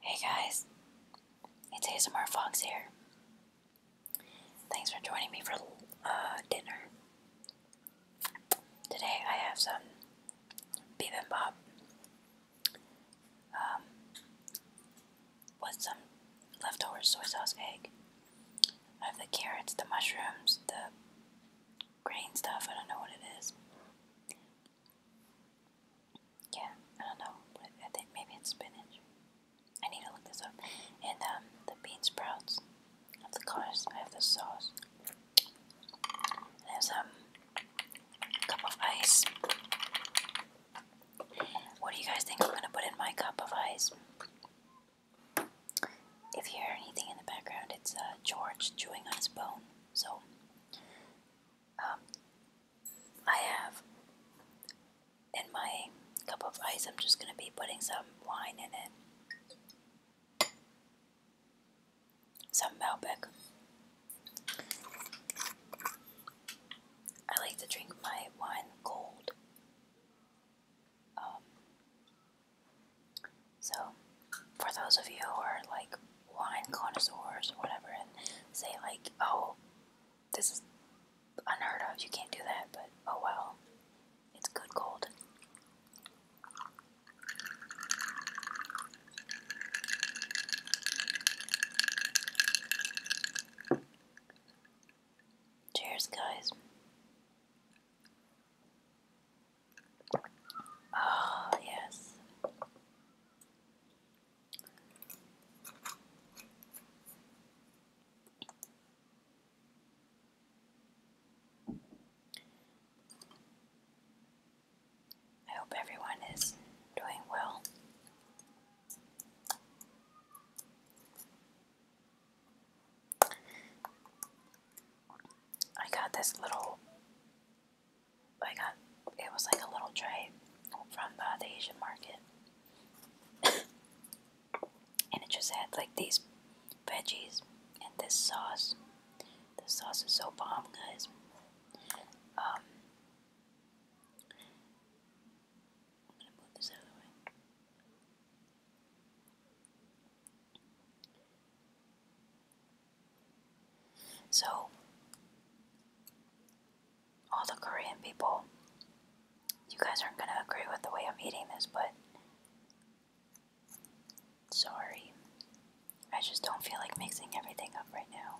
Hey guys, it's ASMR Fox here. Thanks for joining me for uh, dinner. Today I have some bibimbap um, with some leftover soy sauce egg. I have the carrots, the mushrooms, the grain stuff, I don't know what it is. Yeah, I don't know. I think maybe it's spinach. I need to look this up. And um, the bean sprouts. I have the colors. I have the sauce. There's um, a cup of ice. What do you guys think I'm gonna put in my cup of ice? If you hear anything in the background, it's uh, George chewing on his bone. So um, I have in my cup of ice, I'm just going to be putting some wine in it. Some Malbec. I like to drink my wine cold. Um, so, for those of you who are like wine connoisseurs or whatever and say like, oh, this is unheard of, you can't do that, but oh well, it's good gold. Cheers, guys. Oh, yes. I hope everyone is doing well. I got this little I got it was like a little tray from the Asian market, and it just had like these veggies and this sauce. The sauce is so bomb, guys. Um, so, all the Korean people, you guys aren't going to agree with the way I'm eating this, but sorry. I just don't feel like mixing everything up right now.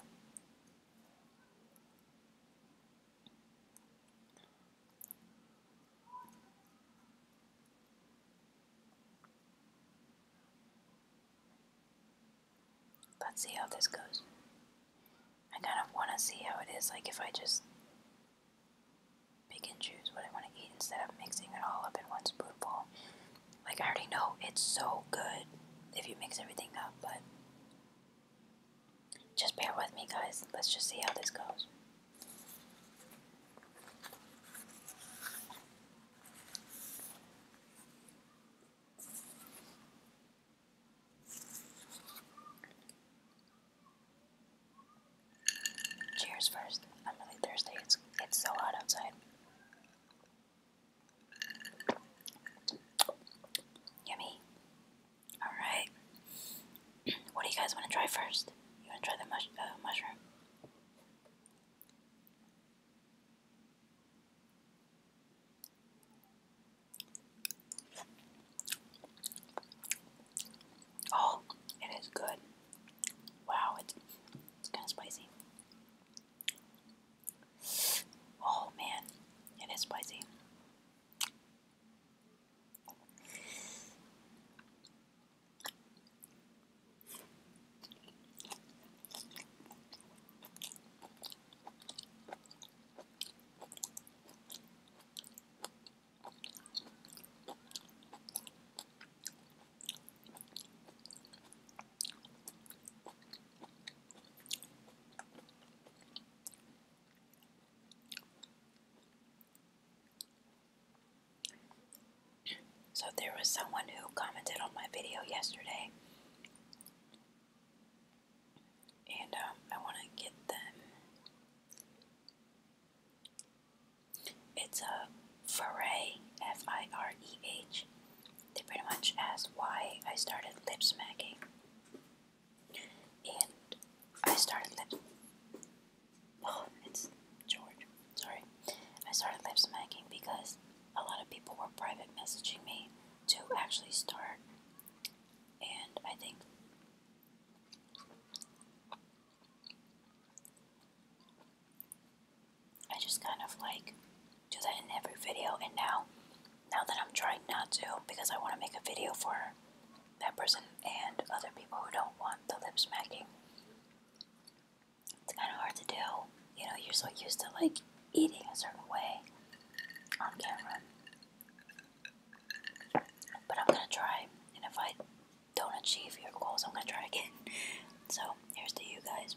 Let's see how this goes. I kind of want to see how it is, like if I just pick and choose what I want to eat instead of mixing it all up in one spoonful. Like, I already know it's so good if you mix everything up, but just bear with me, guys. Let's just see how this goes. Cheers first. I'm really thirsty. It's it's so hot outside. Yummy. Alright. What do you guys want to try first? You want to try the mush uh, mushroom? Oh, it is good. Wow, it's, it's kind of spicy. Oh man, it is spicy. So there was someone who commented on my video yesterday and um, I want to get them. It's a Foray, F I R E H. They pretty much asked why I started lip smacking, and I started lip. Oh, it's George. Sorry, I started lip smacking because a lot of people were private messaging me to actually start, and I think I just kind of like do that in every video. And now, now that I'm trying not to, because I want to make a video for that person and other people who don't want the lip smacking it's kind of hard to do. You know, you're so used to like eating a certain way on camera. But I'm gonna try, and if I don't achieve your goals, I'm gonna try again. So, here's to you guys.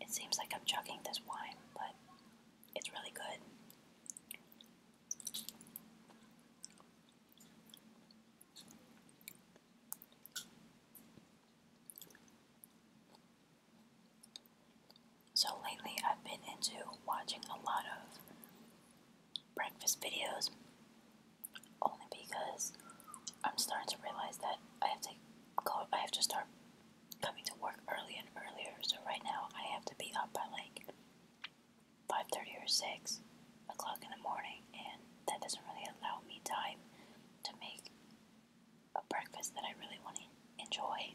It seems like I'm chugging this wine, but it's really good. So lately, I've been into watching a lot of breakfast videos only because I'm starting to realize that I have to go. I have to start coming to work early and earlier. So right now I have to be up by like five thirty or six o'clock in the morning, and that doesn't really allow me time to make a breakfast that I really want to enjoy.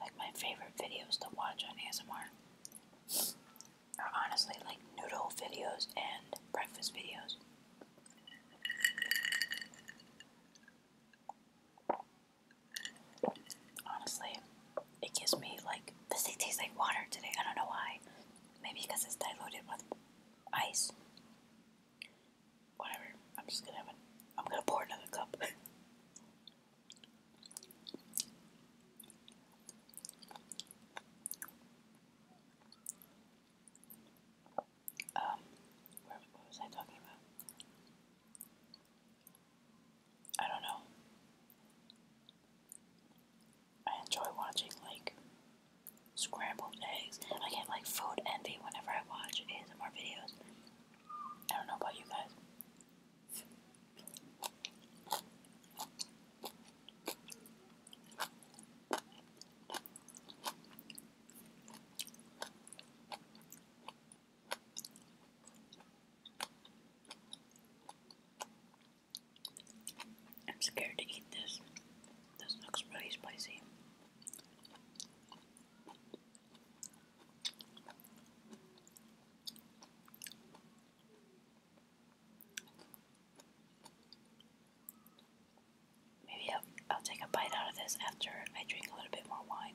Like my favorite videos to watch on ASMR are honestly like noodle videos and breakfast videos. Honestly, it gives me like this thing tastes like water today. I don't know why. Maybe because it's diluted with ice. Whatever. I'm just gonna have it. I'm gonna pour another cup. um, what was I talking about? I don't know. I enjoy watching like scrambled eggs. I get like food envy whenever I watch ASMR videos. I don't know about you guys. I'm scared to eat this. This looks pretty spicy. Maybe I'll, I'll take a bite out of this after I drink a little bit more wine.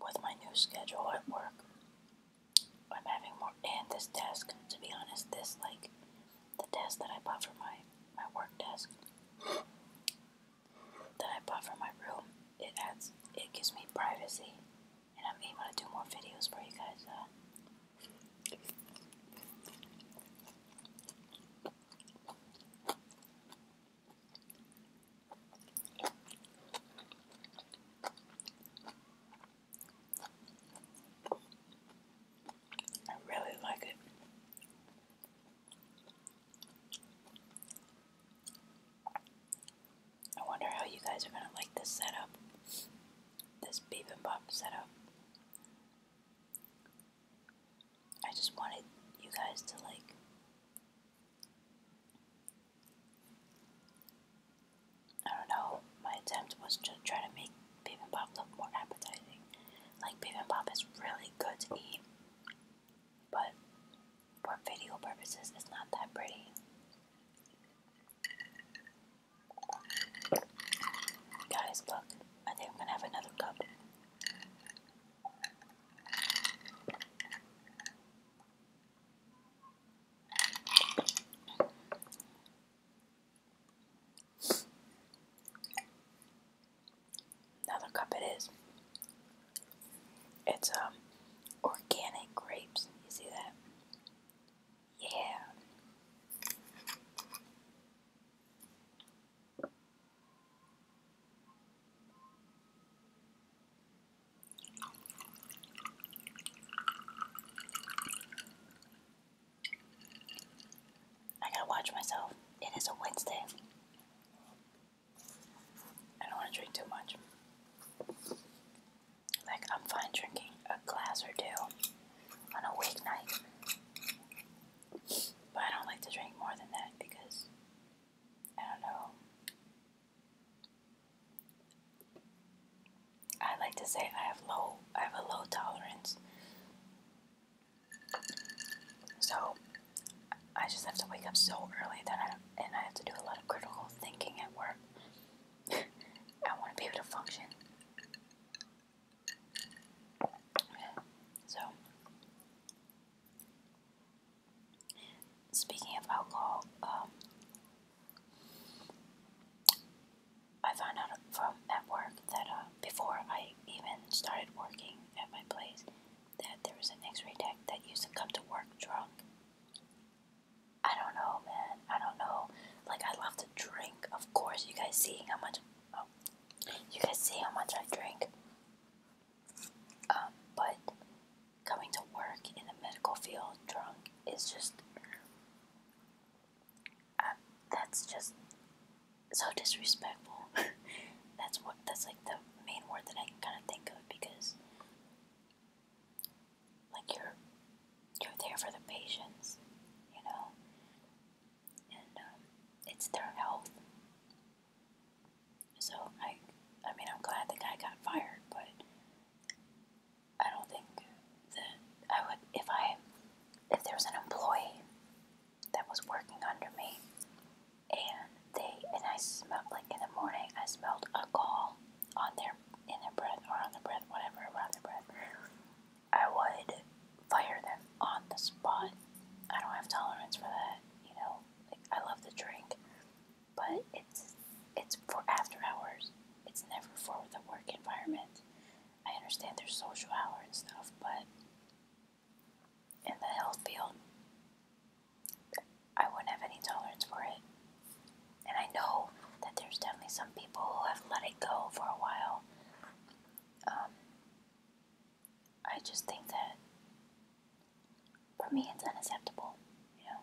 With my new schedule at work, I'm having more and this desk, to be honest, this like the desk that I bought for my my work desk that I bought for my room, it adds it gives me privacy and I'm able to do more videos for you guys. Uh. I really like it. I wonder how you guys are going to like this setup. This and Bop setup. I just wanted you guys to like I don't know, my attempt was to try to make bibimbap look more appetizing. Like bibimbap is really good to eat, but for video purposes it's not that pretty. Guys, look, I think I'm gonna have another cup. Another cup it is. It's um organic grapes. You see that? Yeah. I gotta watch myself. It is a Wednesday. I don't want to drink too much. Like, I'm fine drinking a glass or two on a weeknight. But I don't like to drink more than that because I don't know. I like to say I have low I have a low tolerance. So I just have to wake up so early that I and I have to do a lot of critical thinking at work. I want to be able to function. So speaking of alcohol, um, I found out from at work that uh, before I even started working at my place, that there was an X-ray tech that used to come to work drunk. I don't know, man. I don't know. Like I love to drink, of course. You guys see how much? Oh, you guys see how much I drink. Um, but coming to work in the medical field drunk is just um, that's just so disrespectful. that's what that's like the main word that I can kind of think of because like you're you're there for the patients, you know, and um, it's their health. So I, I mean, I'm glad the guy got fired, but I don't think that I would if I if there was an employee that was working under me and they and I smelled like in the morning I smelled alcohol on their in their breath or on their breath whatever around their breath I would fire them on the spot. I don't have tolerance for that, you know. Like I love the drink, but it's it's for after hours. It's never for the work environment. I understand there's social hour and stuff, but in the health field, I wouldn't have any tolerance for it. And I know that there's definitely some people who have let it go for a while. Um, I just think that for me it's unacceptable, you know.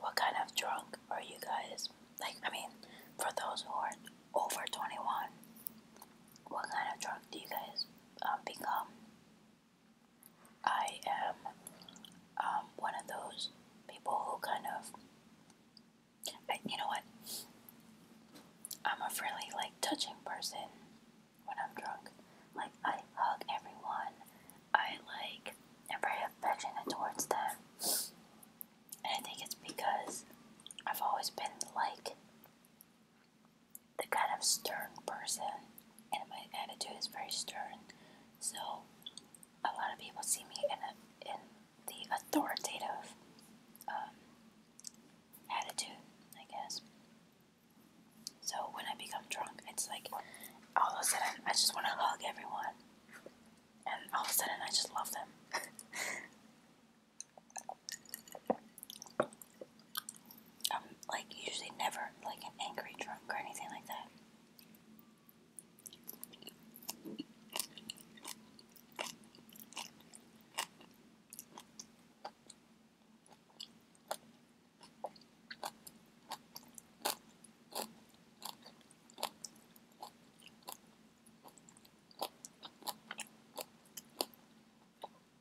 What kind of drunk are you guys? Like, I mean, for those who are over 21, what kind of drunk do you guys um, become? I am um, one of those people who kind of, you know what? I'm a really like touching person when I'm drunk. Like I hug everyone. I like am very affectionate towards them, and I think it's because I've always been like the kind of stern person, and my attitude is very stern. So a lot of people see me in a, in the authoritative um, attitude, I guess. So when I become drunk, it's like all of a sudden I just want to hug everyone, and all of a sudden I just love them. I'm um, like usually never like an angry drunk or anything like that.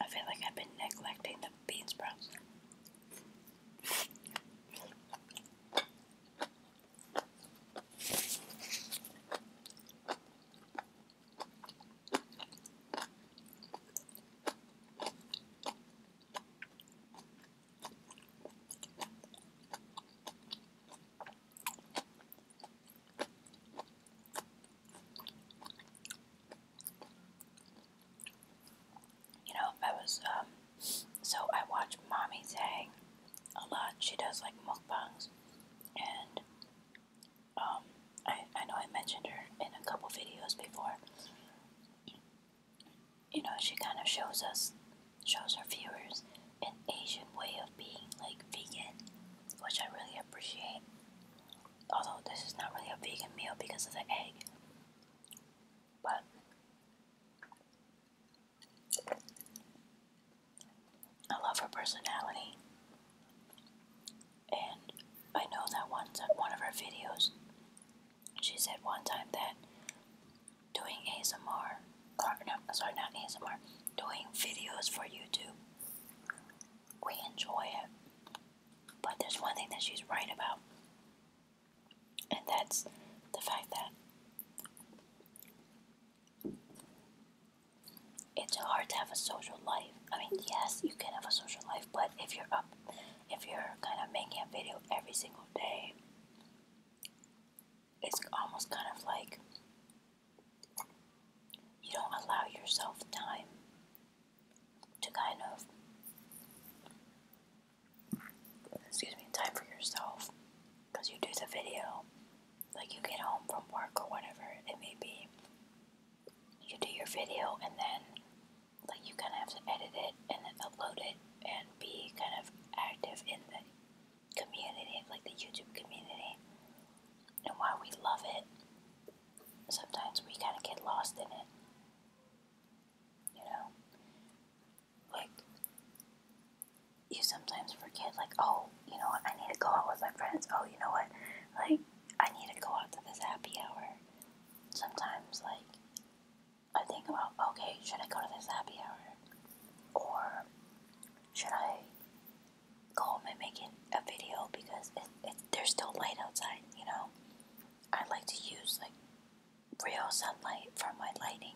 I feel like I've been neglecting the bean sprouts you know, if I was, um, so I watch Mommy Tang a lot. She does like mukbangs, and um, I, I know I mentioned her in a couple videos before. You know, she kind of shows us, shows her viewers an Asian way of being like vegan, which I really appreciate although this is not really a vegan meal because of the egg, but I love her personality, and I know that once one of her videos, she said one time that doing ASMR, or uh, no, sorry, not ASMR, doing videos for YouTube, we enjoy it but there's one thing that she's right about, and that's the fact that it's hard to have a social life. I mean, yes, you can have a social life, but if you're up, if you're kind of making a video every single day, it's almost kind of like you don't allow yourself time to kind of excuse me time for yourself because you do the video like you get home from work or whatever it may be you do your video and then like you kind of have to edit it and then upload it and be kind of active in the community like the youtube community and why we love it sometimes we kind of get lost in it. You know? Like, you sometimes forget, like, oh, you know what, I need to go out with my friends. Oh, you know what, like, I need to go out to this happy hour. Sometimes, like, I think about, okay, should I go to this happy hour? Or should I go home and make it a video because it, it, there's still light outside, you know? I like to use like real sunlight for my lighting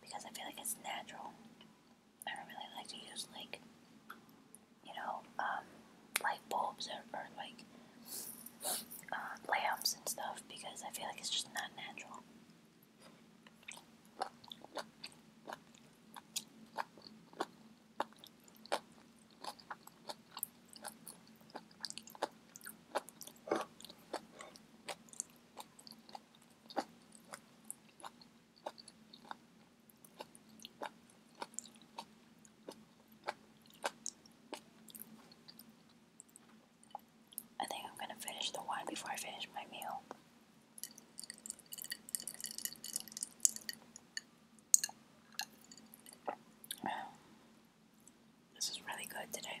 because I feel like it's natural. I don't really like to use like you know um, light bulbs or, or like uh, lamps and stuff because I feel like it's just not natural. I think I'm gonna finish the wine before I finish my meal. This is really good today.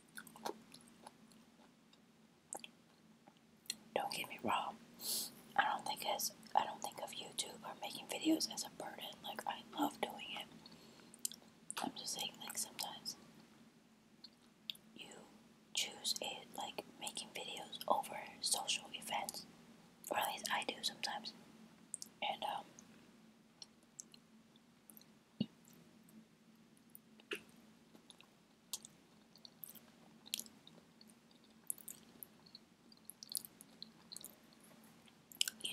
Don't get me wrong. I don't think as I don't think of YouTube or making videos as a burden. Like I love doing it. I'm just saying like sometimes you choose it like making videos over social events. Or at least I do sometimes. And um you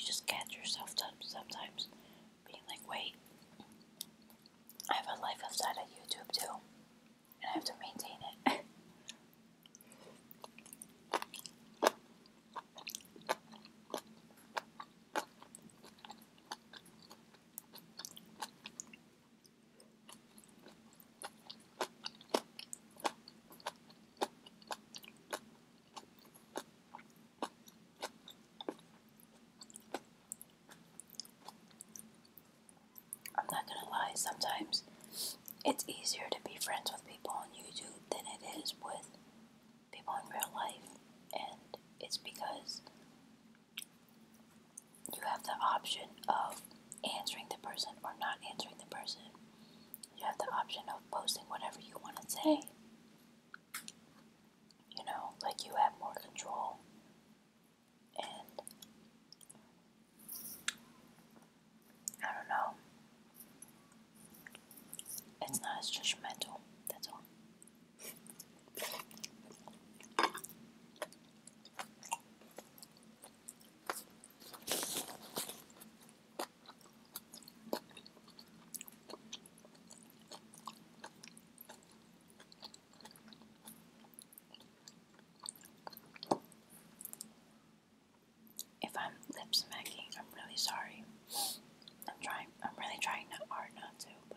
just catch yourself sometimes being like, wait, I have a life outside of YouTube too, and I have to maintain it. I'm not gonna lie, sometimes it's easier to be friends with people on YouTube than it is with people in real life, and it's because you have the option of answering the person or not answering the person. You have the option of posting whatever you want to say. You know, like you have more control. And I don't know. It's not as judgmental, that's all. If I'm lip smacking, I'm really sorry. I'm trying, I'm really trying not hard not to, but.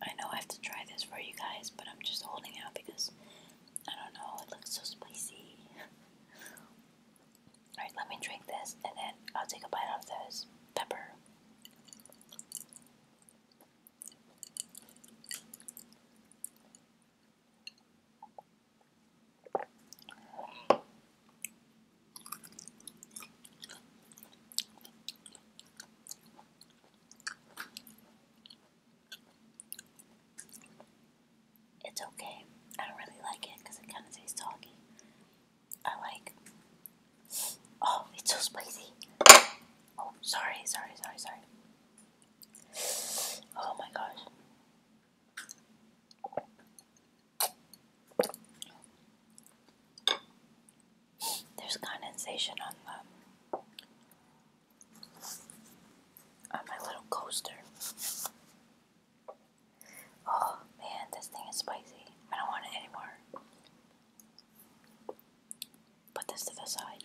I know I have to try this for you guys, but I'm just holding out because I don't know, it looks so spicy. Alright, let me drink this and then I'll take a bite of this pepper. It's okay. I don't really like it because it kind of tastes soggy. I like. Oh, it's so spicy. Oh, sorry, sorry, sorry, sorry. Oh my gosh. There's condensation on the um, on my little coaster. Oh man, this thing is spicy. I don't want it anymore. Put this to the side.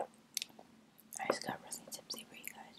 I just got really tipsy for you guys.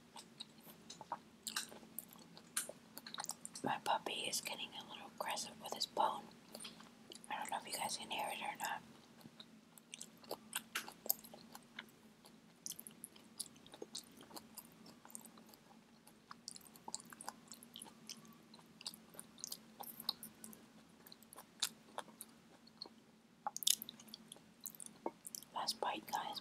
My puppy is getting a little aggressive with his bone. I don't know if you guys can hear it or not. Last bite, guys.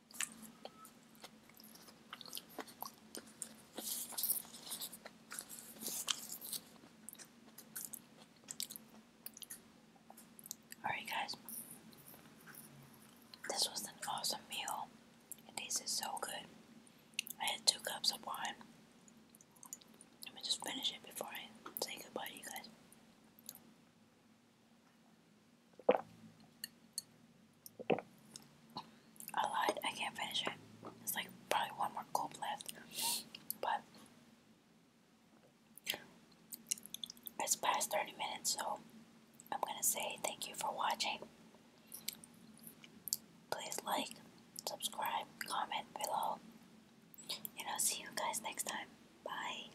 Alright, guys, this was an awesome meal. It tasted so good. I had two cups of wine. Let me just finish it before I say goodbye you guys. I lied. I can't finish it. It's like probably one more gulp left. But it's past 30 minutes, so I'm going to say thank you for watching. Please like, subscribe, comment below. And I'll see you guys next time. Bye.